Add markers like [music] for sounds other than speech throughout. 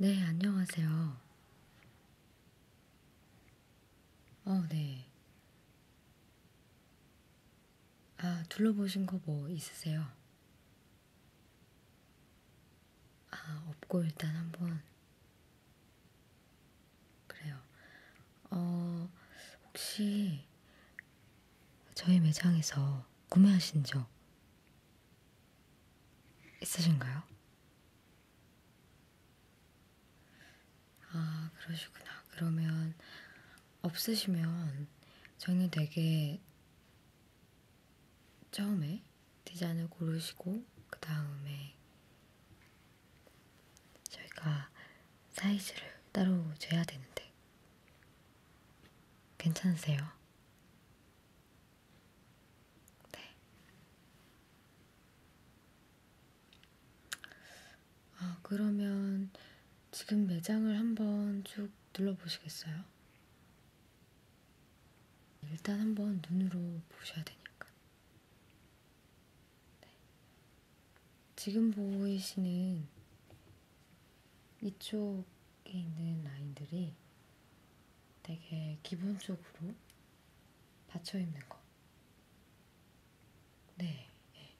네, 안녕하세요. 어, 네. 아, 둘러보신 거 뭐 있으세요? 아, 없고 일단 한번 그래요. 어, 혹시 저희 매장에서 구매하신 적 있으신가요? 아, 그러시구나. 그러면 없으시면 저는 되게 처음에 디자인을 고르시고 그 다음에 저희가 사이즈를 따로 재야 되는데 괜찮으세요? 네. 아 그러면 지금 매장을 한번 쭉 둘러보시겠어요? 일단 한번 눈으로 보셔야 되니까. 네. 지금 보이시는 이쪽에 있는 라인들이 되게 기본적으로 받쳐 있는 거. 네. 네.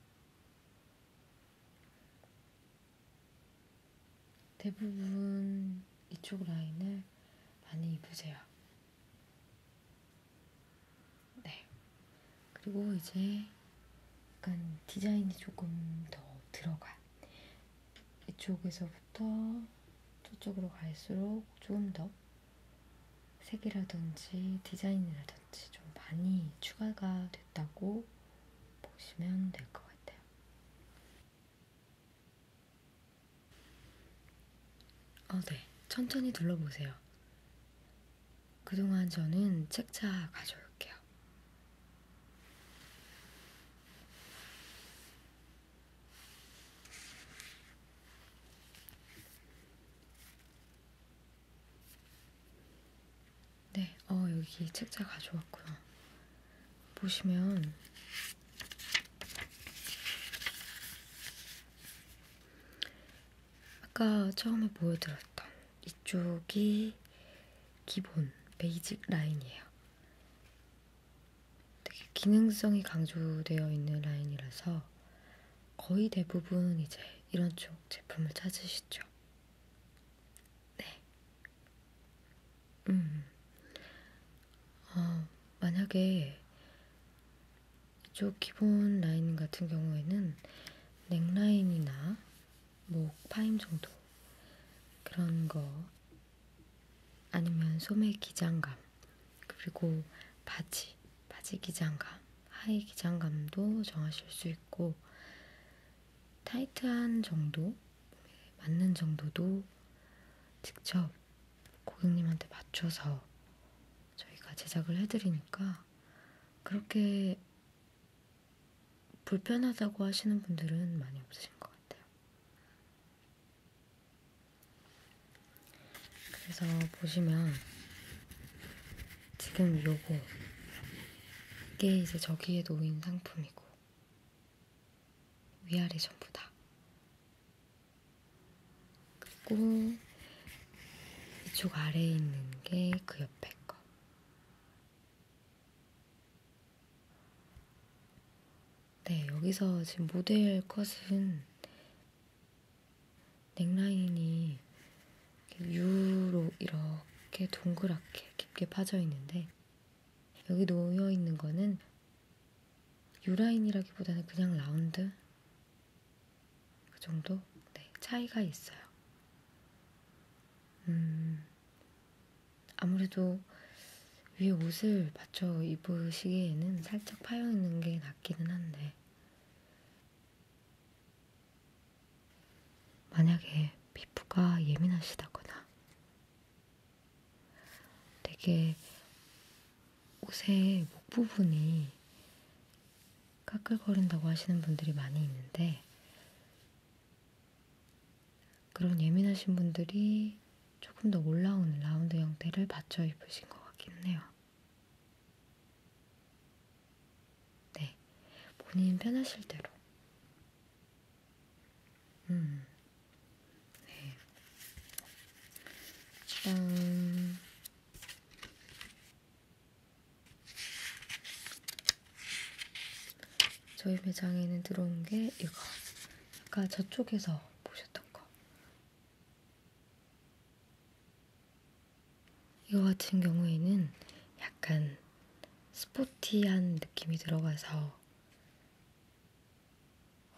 대부분 이쪽 라인을 많이 입으세요. 네. 그리고 이제 약간 디자인이 조금 더 들어가. 이쪽에서부터 저쪽으로 갈수록 조금 더 색이라든지 디자인이라든지 좀 많이 추가가 됐다고 보시면 될 것 같아요. 어, 네. 천천히 둘러보세요. 그동안 저는 책차 가져올게요. 네, 어, 여기 책자 가져왔고요. 보시면 아까 처음에 보여드렸던 이쪽이 기본 베이직 라인이에요. 되게 기능성이 강조되어 있는 라인이라서 거의 대부분 이제 이런 쪽 제품을 찾으시죠. 네. 음, 어, 만약에 이쪽 기본 라인 같은 경우에는 넥라인이나 목 뭐 파임 정도 그런 거 아니면 소매 기장감 그리고 바지 바지 기장감 하의 기장감도 정하실 수 있고 타이트한 정도 맞는 정도도 직접 고객님한테 맞춰서 저희가 제작을 해드리니까 그렇게 불편하다고 하시는 분들은 많이 없으신 것 같아요. 그래서 보시면 지금 요거 이게 이제 저기에 놓인 상품이고 위아래 전부 다 그리고 이쪽 아래에 있는 게 그 옆에 거. 네, 여기서 지금 모델 컷은 넥라인이 U로 이렇게 동그랗게 깊게 파져 있는데 여기 놓여 있는 거는 유라인이라기보다는 그냥 라운드 그 정도 네, 차이가 있어요. 음, 아무래도 위에 옷을 받쳐 입으시기에는 살짝 파여 있는 게 낫기는 한데 만약에 피부가 예민하시다거나 되게 옷의 목 부분이 까끌거린다고 하시는 분들이 많이 있는데 그런 예민하신 분들이 조금 더 올라오는 라운드 형태를 받쳐 입으신 것 같기는 해요. 네, 본인 편하실 대로 음. 네. 짠. 저희 매장에는 들어온 게 이거. 아까 저쪽에서 보셨던 거. 이거 같은 경우에는 약간 스포티한 느낌이 들어가서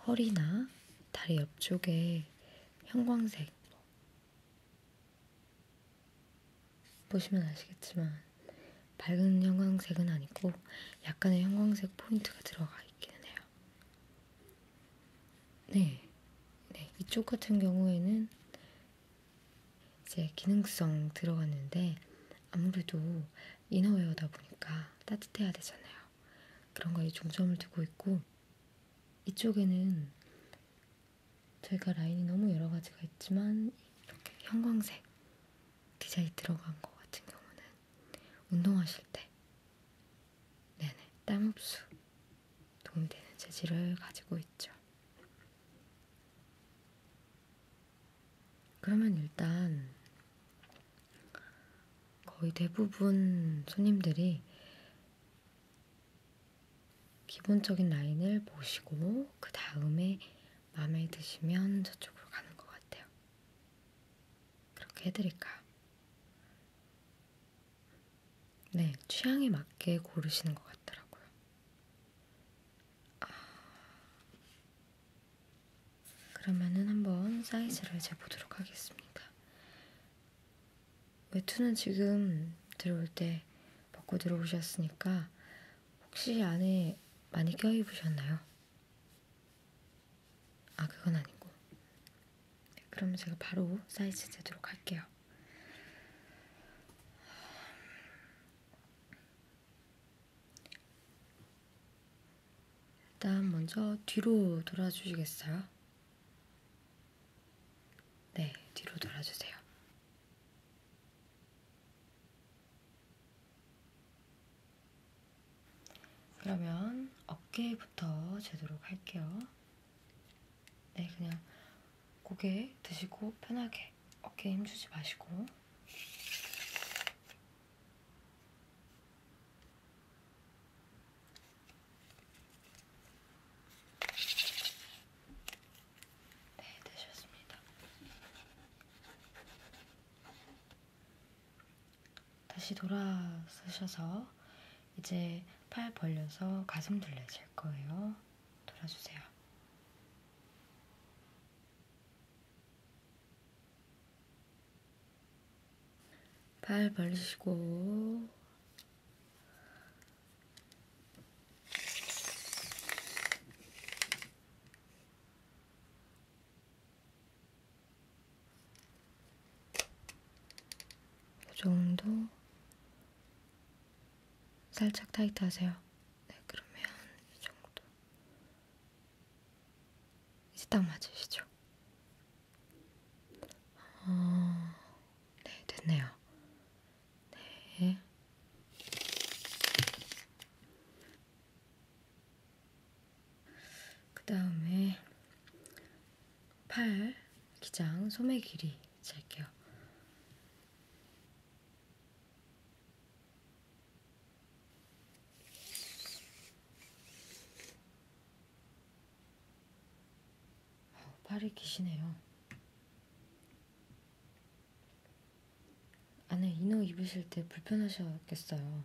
허리나 다리 옆쪽에 형광색 보시면 아시겠지만 밝은 형광색은 아니고 약간의 형광색 포인트가 들어가 있기는 해요. 네, 네 이쪽 같은 경우에는 이제 기능성 들어갔는데 아무래도 이너웨어다 보니까 따뜻해야 되잖아요. 그런 거에 중점을 두고 있고 이쪽에는 저희가 라인이 너무 여러 가지가 있지만 이렇게 형광색 디자인 들어간 거 같은 경우는 운동하실 때 네네 땀 흡수 도움되는 재질을 가지고 있죠. 그러면 일단 거의 대부분 손님들이 기본적인 라인을 보시고 그 다음에 마음에 드시면 저쪽으로 가는 것 같아요. 그렇게 해드릴까요? 네, 취향에 맞게 고르시는 것 같더라고요. 아... 그러면은 한번 사이즈를 재보도록 하겠습니다. 외투는 지금 들어올 때 벗고 들어오셨으니까 혹시 안에 많이 껴입으셨나요? 아 그건 아니고 네, 그러면 제가 바로 사이즈 재도록 할게요. 일단 먼저 뒤로 돌아주시겠어요? 네, 뒤로 돌아주세요. 그러면 어깨부터 재도록 할게요. 네, 그냥 고개 드시고 편하게 어깨에 힘주지 마시고 네, 되셨습니다. 다시 돌아 서셔서 이제 팔 벌려서 가슴 둘레질 거예요. 돌아주세요. 팔 벌리시고 이 정도 살짝 타이트하세요. 네, 그러면 이 정도. 이제 딱 맞으시죠? 어... 네, 됐네요. 네. 그 다음에 팔, 기장, 소매 길이 잴게요. 팔이 기시네요. 안에 이너 입으실 때 불편하셨겠어요.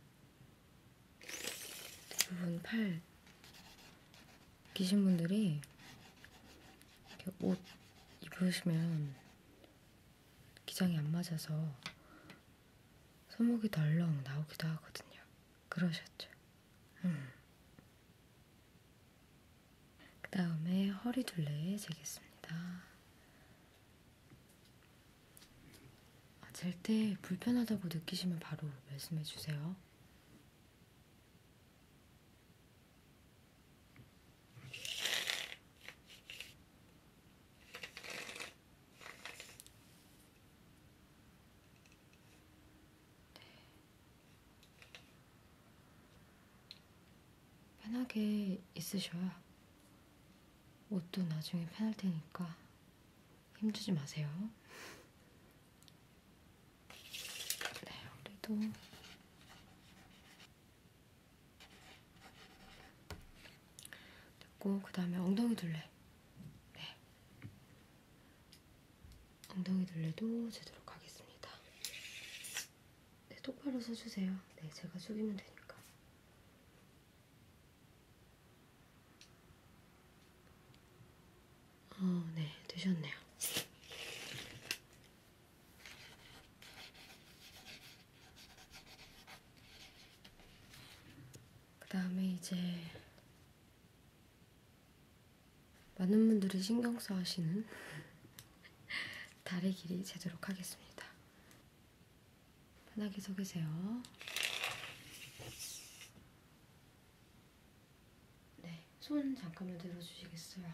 대부분 팔 기신 분들이 이렇게 옷 입으시면 기장이 안 맞아서 손목이 덜렁 나오기도 하거든요. 그러셨죠? 음. 그 다음에 허리 둘레 재겠습니다. 아, 잴때 불편하다고 느끼시면 바로 말씀해 주세요. 편하게 있으셔야 옷도 나중에 편할 테니까 힘주지 마세요. 네, 우리도 됐고 그 다음에 엉덩이 둘레 네. 엉덩이 둘레도 제대로 가겠습니다 네, 똑바로 서주세요 네, 제가 숙이면 되니까 어, 네, 되셨네요 그 다음에 이제 많은 분들이 신경 써 하시는 다리 길이 재도록 하겠습니다. 편하게 서 계세요. 네, 손 잠깐만 들어주시겠어요?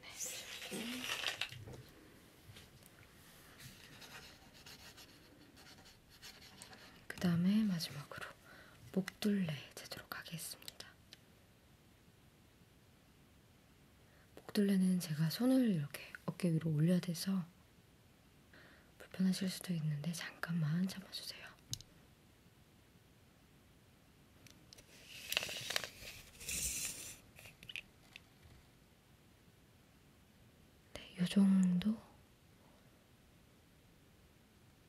네, 그 다음에 마지막으로 목둘레 재도록 하겠습니다. 목둘레는 제가 손을 이렇게 어깨 위로 올려야 돼서 불편하실 수도 있는데 잠깐만 참아주세요. 네, 요 정도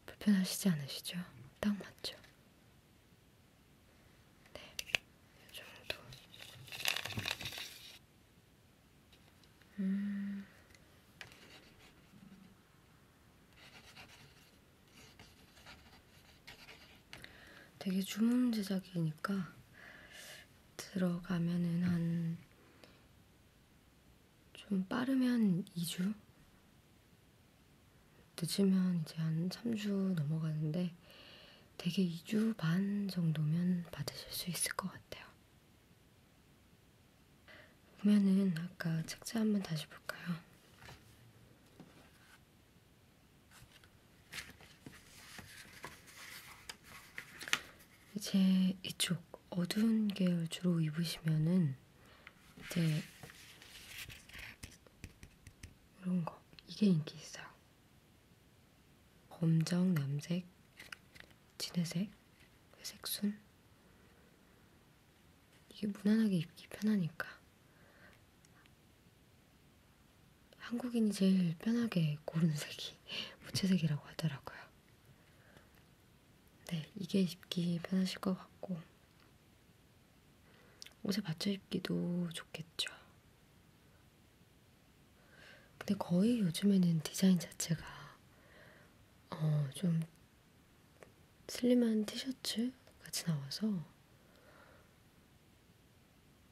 불편하시지 않으시죠? 딱 맞죠? 네, 요 정도. 음, 되게 주문 제작이니까 들어가면은 한 좀 빠르면 2주? 늦으면 이제 한 3주 넘어가는데 되게 2주 반 정도면 받으실 수 있을 것 같아요. 보면은 아까 책자 한번 다시 볼까요? 이제 이쪽 어두운 계열 주로 입으시면은 이제 이런 거 이게 인기 있어요. 검정, 남색, 진회색, 회색순 이게 무난하게 입기 편하니까. 한국인이 제일 편하게 고른 색이 [laughs] 무채색이라고 하더라고요. 네, 이게 입기 편하실 것 같고, 옷에 맞춰 입기도 좋겠죠. 근데 거의 요즘에는 디자인 자체가 어, 좀 슬림한 티셔츠 같이 나와서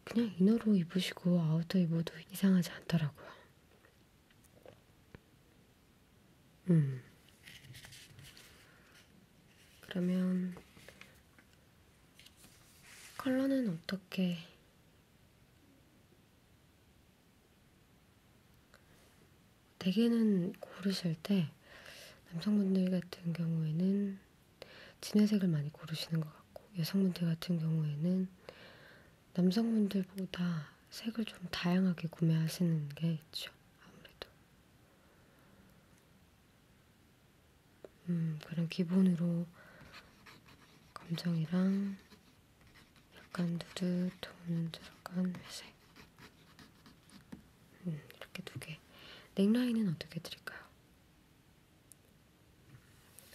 그냥 이너로 입으시고 아우터 입어도 이상하지 않더라고요. 음. 그러면 컬러는 어떻게 대개는 고르실 때 남성분들 같은 경우에는 진회색을 많이 고르시는 것 같고 여성분들 같은 경우에는 남성분들보다 색을 좀 다양하게 구매하시는 게 있죠. 아무래도. 음, 그럼 기본으로 검정이랑 약간 누드 또는 약간 회색. 음, 이렇게 두 개. 넥라인은 어떻게 드릴까요?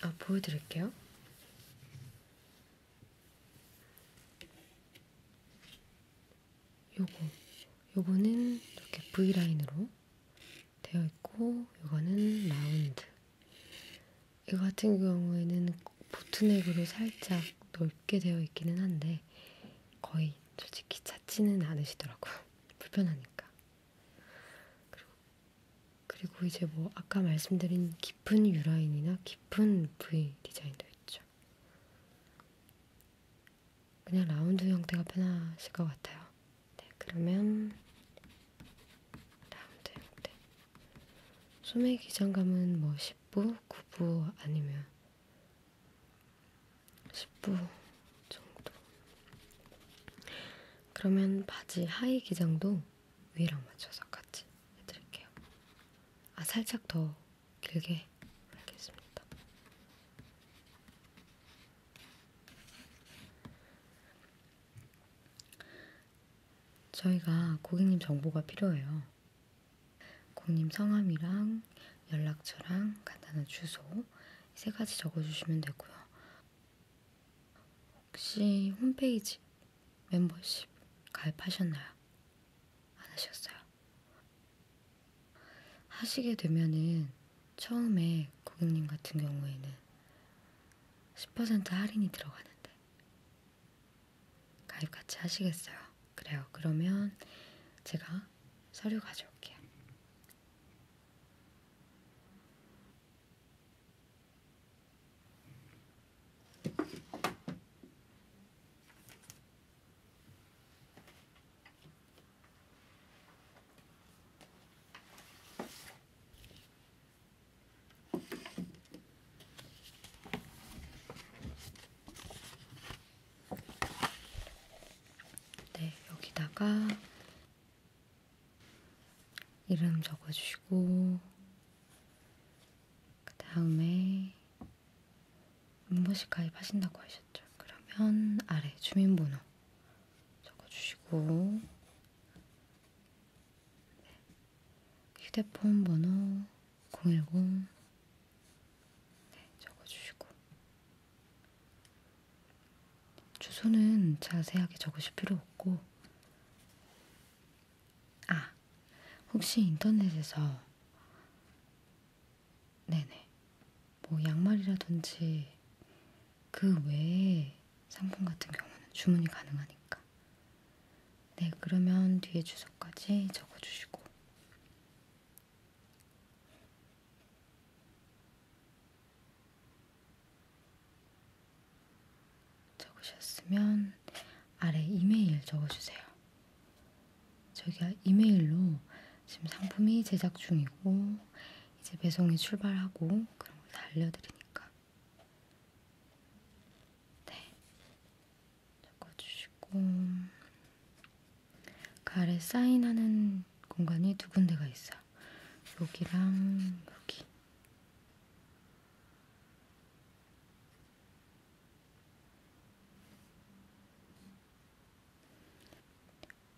아, 보여드릴게요. 요거. 요거는 이렇게 V라인으로 되어 있고, 요거는 라운드. 이거 같은 경우에는 보트넥으로 살짝 넓, 좁게 되어 있기는 한데 거의 솔직히 찾지는 않으시더라고요. [laughs] 불편하니까. 그리고, 그리고 이제 뭐 아까 말씀드린 깊은 유라인이나 깊은 V 디자인도 있죠. 그냥 라운드 형태가 편하실 것 같아요. 네, 그러면 라운드 형태. 소매 기장감은 뭐 10부, 9부 아니면 10부 정도. 그러면 바지 하의 기장도 위랑 맞춰서 같이 해드릴게요. 아, 살짝 더 길게 알겠습니다. 저희가 고객님 정보가 필요해요. 공님 성함이랑 연락처랑 간단한 주소 세 가지 적어주시면 되고요. 혹시 홈페이지 멤버십 가입하셨나요? 안 하셨어요? 하시게 되면은 처음에 고객님 같은 경우에는 10% 할인이 들어가는데 가입 같이 하시겠어요? 그래요. 그러면 제가 서류 가져올게요. 네, 여기다가 이름 적어주시고, 그 다음에 인버식 가입하신다고 하셨죠. 그러면 아래 주민번호 적어주시고, 네, 휴대폰 번호, 010 네, 적어주시고 주소는 자세하게 적으실 필요 없고 아, 혹시 인터넷에서 네네 뭐 양말이라든지 그 외에 상품 같은 경우는 주문이 가능하니까 테니까. 네, 그러면 뒤에 주소까지 적어주시고. 적으셨으면 아래 이메일 적어주세요. 저희가 이메일로 지금 상품이 제작 중이고 이제 배송이 출발하고 그런 걸다 알려드리니까 네, 적어주시고 가래 사인하는 공간이 두 군데가 있어요. 여기랑 여기.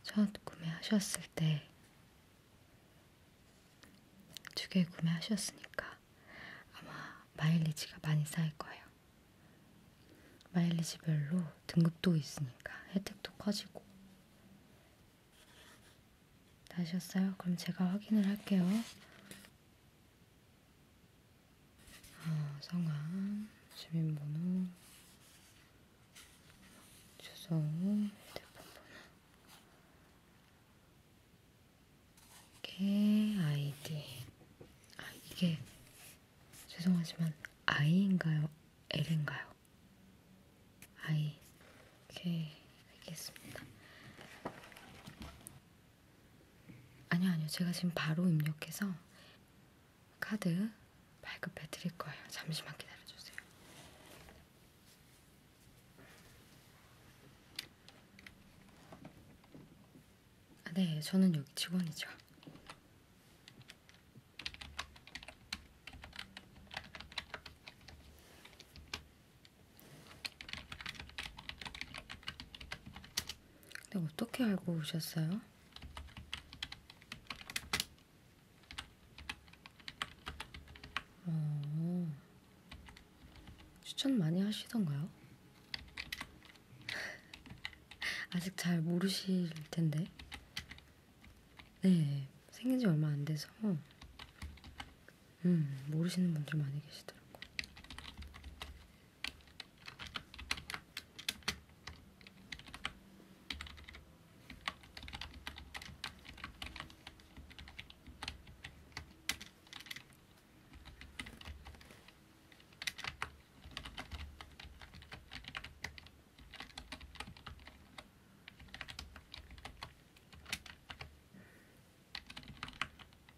첫 구매하셨을 때 두 개 구매하셨으니까 아마 마일리지가 많이 쌓일 거예요. 마일리지별로 등급도 있으니까 혜택도 커지고. 다 하셨어요? 그럼 제가 확인을 할게요. 어, 성함, 주민번호, 주소, 휴대폰 번호. 이게 아이디. 아, 이게 죄송하지만 I인가요? L인가요? I. 이렇게 알겠습니다. 아니요, 아니요. 제가 지금 바로 입력해서 카드 발급해 드릴 거예요. 잠시만 기다려 주세요. 아, 네, 저는 여기 직원이죠. 근데 어떻게 알고 오셨어요? 어, 추천 많이 하시던가요? [laughs] 아직 잘 모르실 텐데. 네, 생긴 지 얼마 안 돼서, 음, 모르시는 분들 많이 계시더라고요.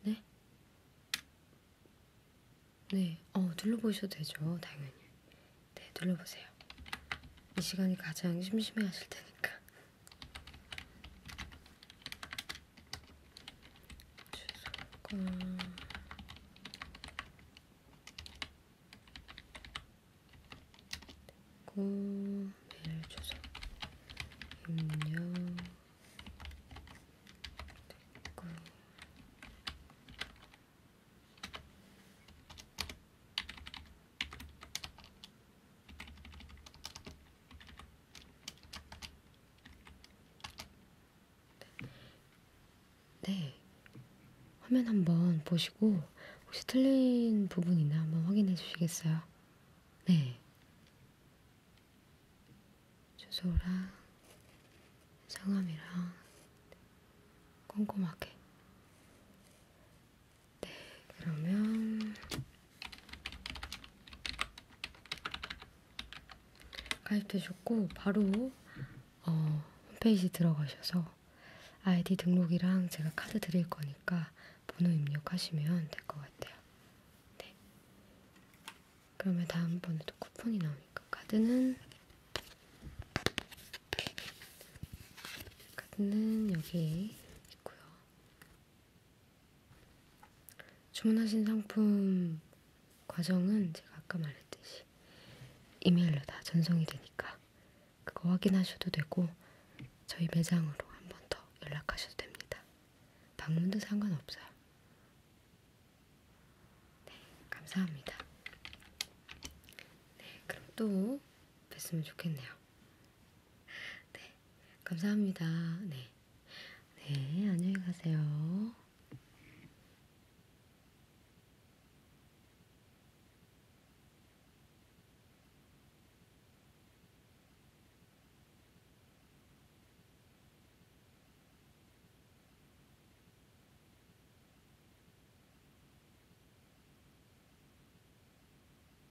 네? 네, 어, 둘러보셔도 되죠, 당연히. 네, 둘러보세요. 이 시간이 가장 심심해 하실 테니까. 주소가 고 메일 주소 입력 됐고 네. 화면 한번 보시고 혹시 틀린 부분이나 한번 확인해 주시겠어요? 네. 주소랑 성함이랑 꼼꼼하게 네, 그러면 가입되셨고 바로 어, 홈페이지 들어가셔서 아이디 등록이랑 제가 카드 드릴 거니까 번호 입력하시면 될 것 같아요. 네. 그러면 다음번에도 쿠폰이 나오니까 카드는 카드는 여기 있고요. 주문하신 상품 과정은 제가 아까 말했듯이 이메일로 다 전송이 되니까 그거 확인하셔도 되고 저희 매장으로 한 번 더 연락하셔도 됩니다. 방문도 상관없어요. 네, 감사합니다. 네, 그럼 또 뵀으면 좋겠네요. 네, 감사합니다. 네, 네, 안녕히 가세요.